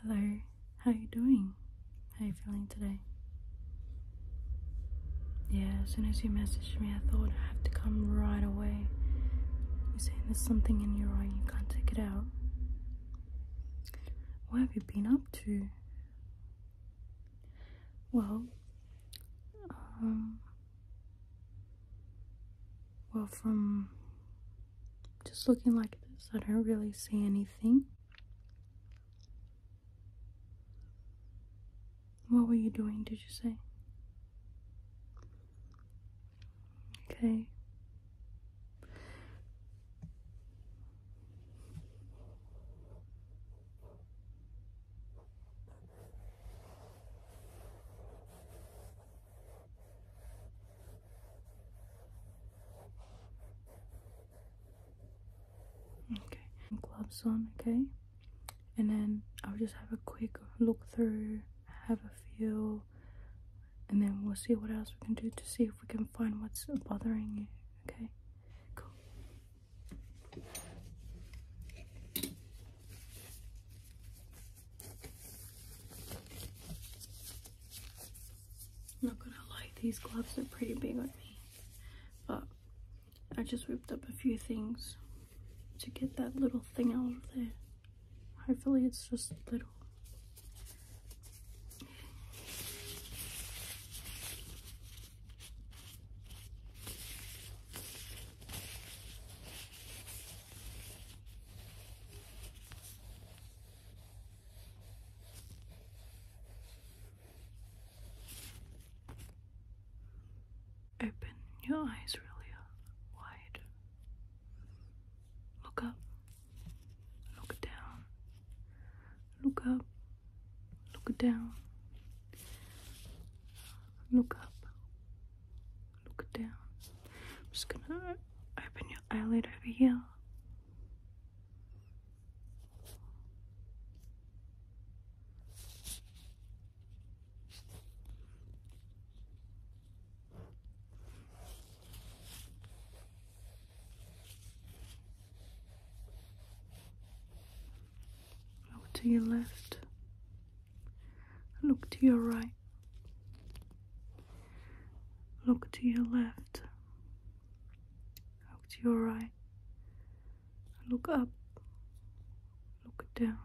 Hello, how are you doing? How are you feeling today? Yeah, as soon as you messaged me, I thought I have to come right away. You're saying there's something in your eye, you can't take it out. What have you been up to? Well, um, well, from just looking like this, I don't really see anything. What were you doing, did you say? Okay. Okay, gloves on, okay? And then I'll just have a quick look through, have a feel, and then we'll see what else we can do to see if we can find what's bothering you, okay? Cool not gonna lie, these gloves are pretty big on me, but I just whipped up a few things to get that little thing out of there. Hopefully it's just little. Open your eyes really wide. Look up. Look down. Look up. Look down. Look up look down. I'm just gonna open your eyelid over here. Over to your left. Look to your right. Look to your left. Look to your right. Look up. Look down.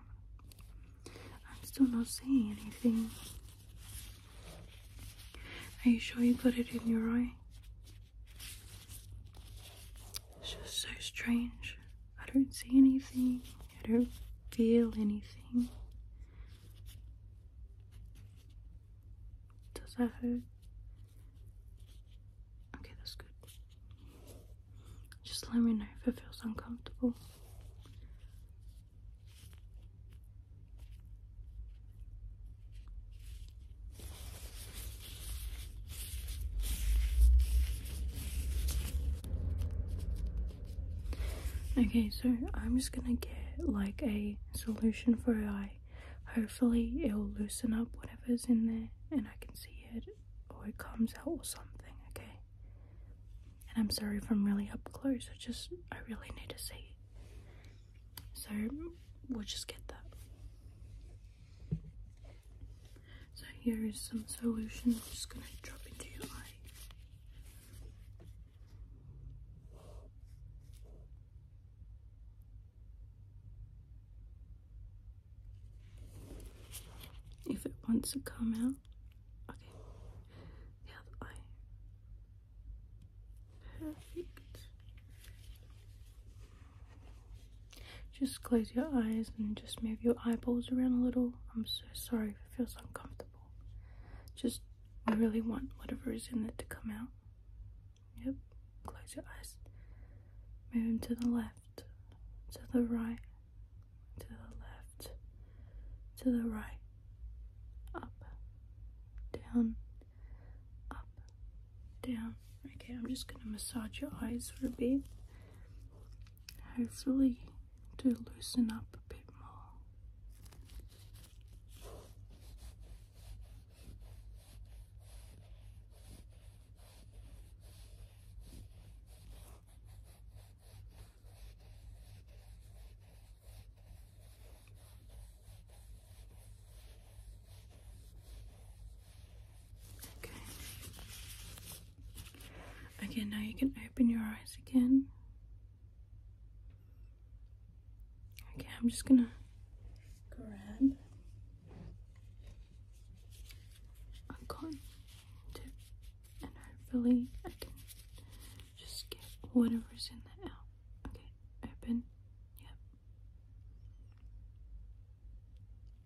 I'm still not seeing anything. Are you sure you put it in your eye? It's just so strange. I don't see anything. I don't feel anything. Does that hurt? Okay, that's good. Just let me know if it feels uncomfortable. Okay, so I'm just gonna get like a solution for her eye. Hopefully, it'll loosen up whatever's in there and I can see it or it comes out or something, okay? And I'm sorry if I'm really up close, I just, I really need to see So, we'll just get that. So here is some solution. just gonna drop into your eye. If it wants to come out, okay. The other eye. Perfect. Just close your eyes and just move your eyeballs around a little. I'm sorry if it feels uncomfortable. Just, we really want whatever is in it to come out. Yep. Close your eyes. Move them to the left, to the right, to the left, to the right, up, down, up, down. Okay, I'm just gonna massage your eyes for a bit hopefully to loosen up a bit more. Okay. Okay, now you can open your eyes again. Okay, I'm just gonna grab a cotton tip and hopefully I can just get whatever's in there out. Okay, open. Yep.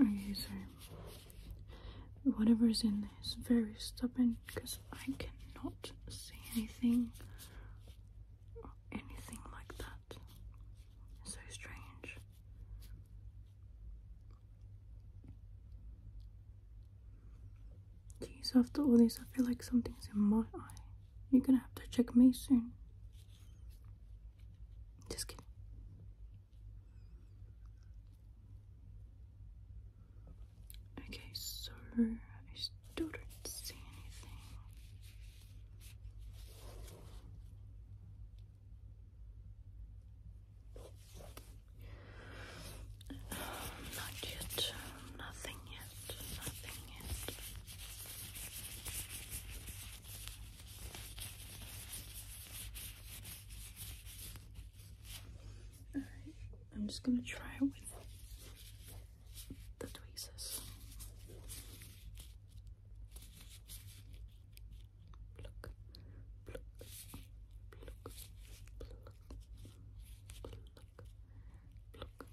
Okay, so whatever's in there is very stubborn because I cannot see anything or anything like that. so strange. Jeez, after all this, I feel like something's in my eye. You're gonna have to check me soon. Just kidding. Okay, so I still don't see anything. not yet. nothing yet. Alright, I'm just gonna try it with the tweezers.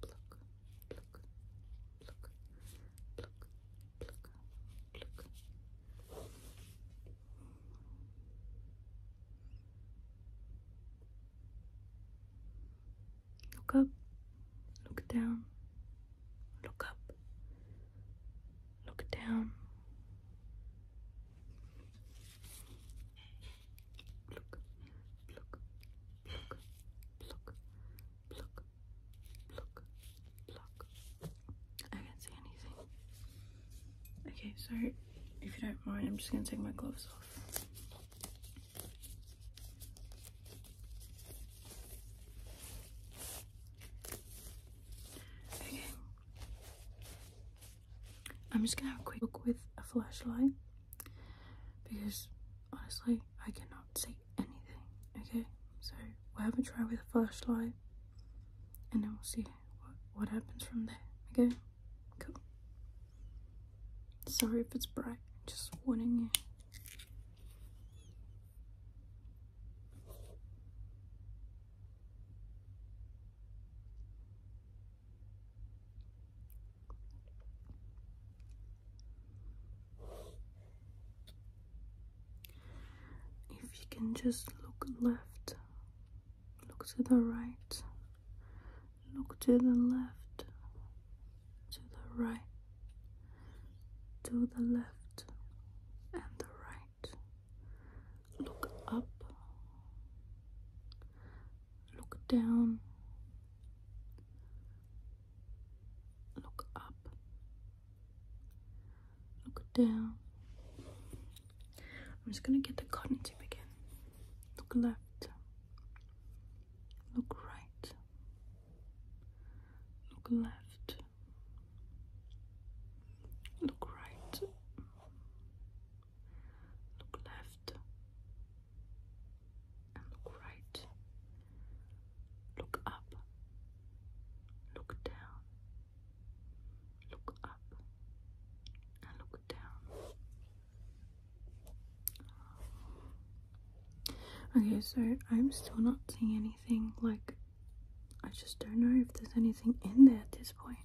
pluck, pluck, pluck, pluck, pluck, pluck. Look up, look down, look up, look down. look, look, look, look, pluck, pluck, pluck. I can't see anything. Okay, so if you don't mind, I'm just gonna take my gloves off. Okay. I'm just gonna have a quick look with a flashlight because honestly, I cannot see anything. Okay, so we'll have a try with a flashlight, and then we'll see what, what happens from there. Okay, cool. Sorry if it's bright. Just warning you. If you can just look left, look to the right, look to the left, to the right, to the left, and the right. Look up, look down, look up, look down. I'm just going to get the cotton tip again. Look left, look right, look left, look right, look left, and look right, look up, look down, look up, and look down. Okay, so I'm still not seeing anything like I just don't know if there's anything in there at this point.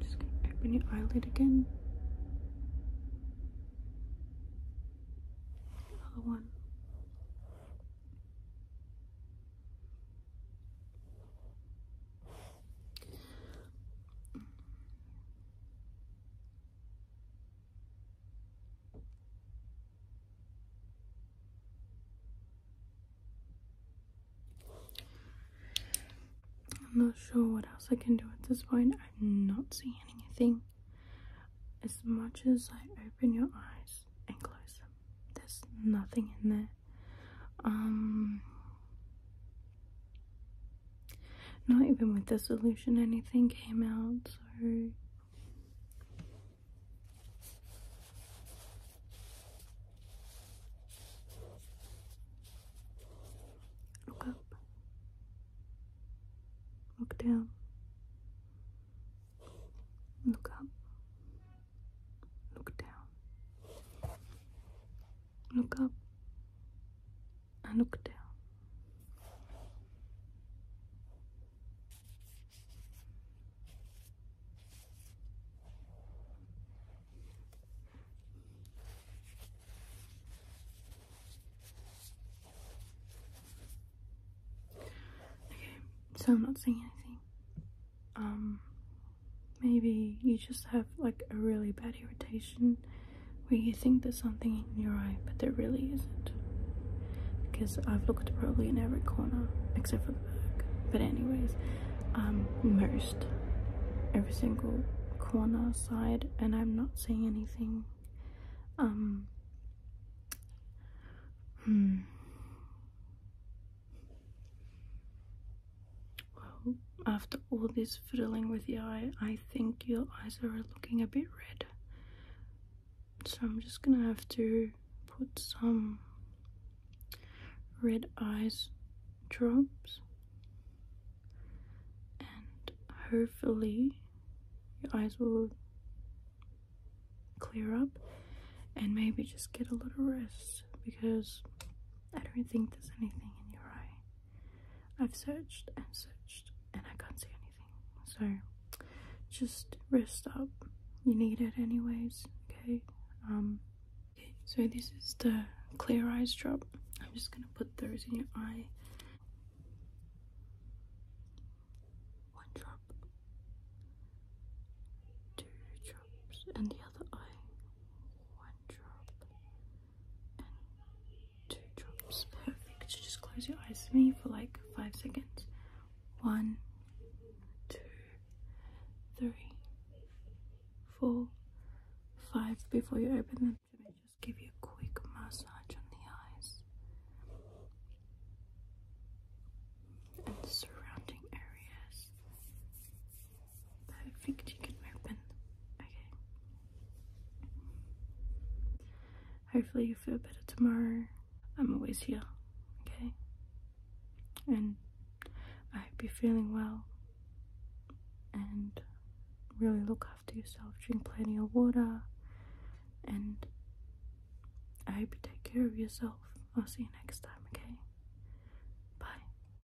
Just gonna open your eyelid again. Another one. I'm not sure what else I can do at this point. I'm not seeing anything. As much as I open your eyes and close them, there's nothing in there. Um, not even with the solution, anything came out. Sorry. Look up. Look down. Look up. Look down. Look up and look down. Okay, so I'm not saying anything. Um, maybe you just have like a really bad irritation where you think there's something in your eye, but there really isn't. Because I've looked probably in every corner except for the back. But anyways, i um, most every single corner side, and I'm not seeing anything. Um, hmm. Well, after all this fiddling with your eye, I think your eyes are looking a bit red. So I'm just gonna have to put some red eyes drops and hopefully your eyes will clear up and maybe just get a little rest because I don't think there's anything in your eye. I've searched and searched and I can't see anything. So just rest up. You need it anyways, okay? Um, so this is the clear eyes drop. I'm just gonna put those in your eye. One drop, two drops, and the other eye. One drop, and two drops. Perfect. Just close your eyes for me for like five seconds. One, two, three, four, five before you open them. Let me just give you a quick massage on the eyes and the surrounding areas. Perfect, you can open. Okay. Hopefully, you feel better tomorrow. I'm always here, okay? And I hope you're feeling well. And really look after yourself. Drink plenty of water. And I hope you take care of yourself. I'll see you next time, okay? Bye.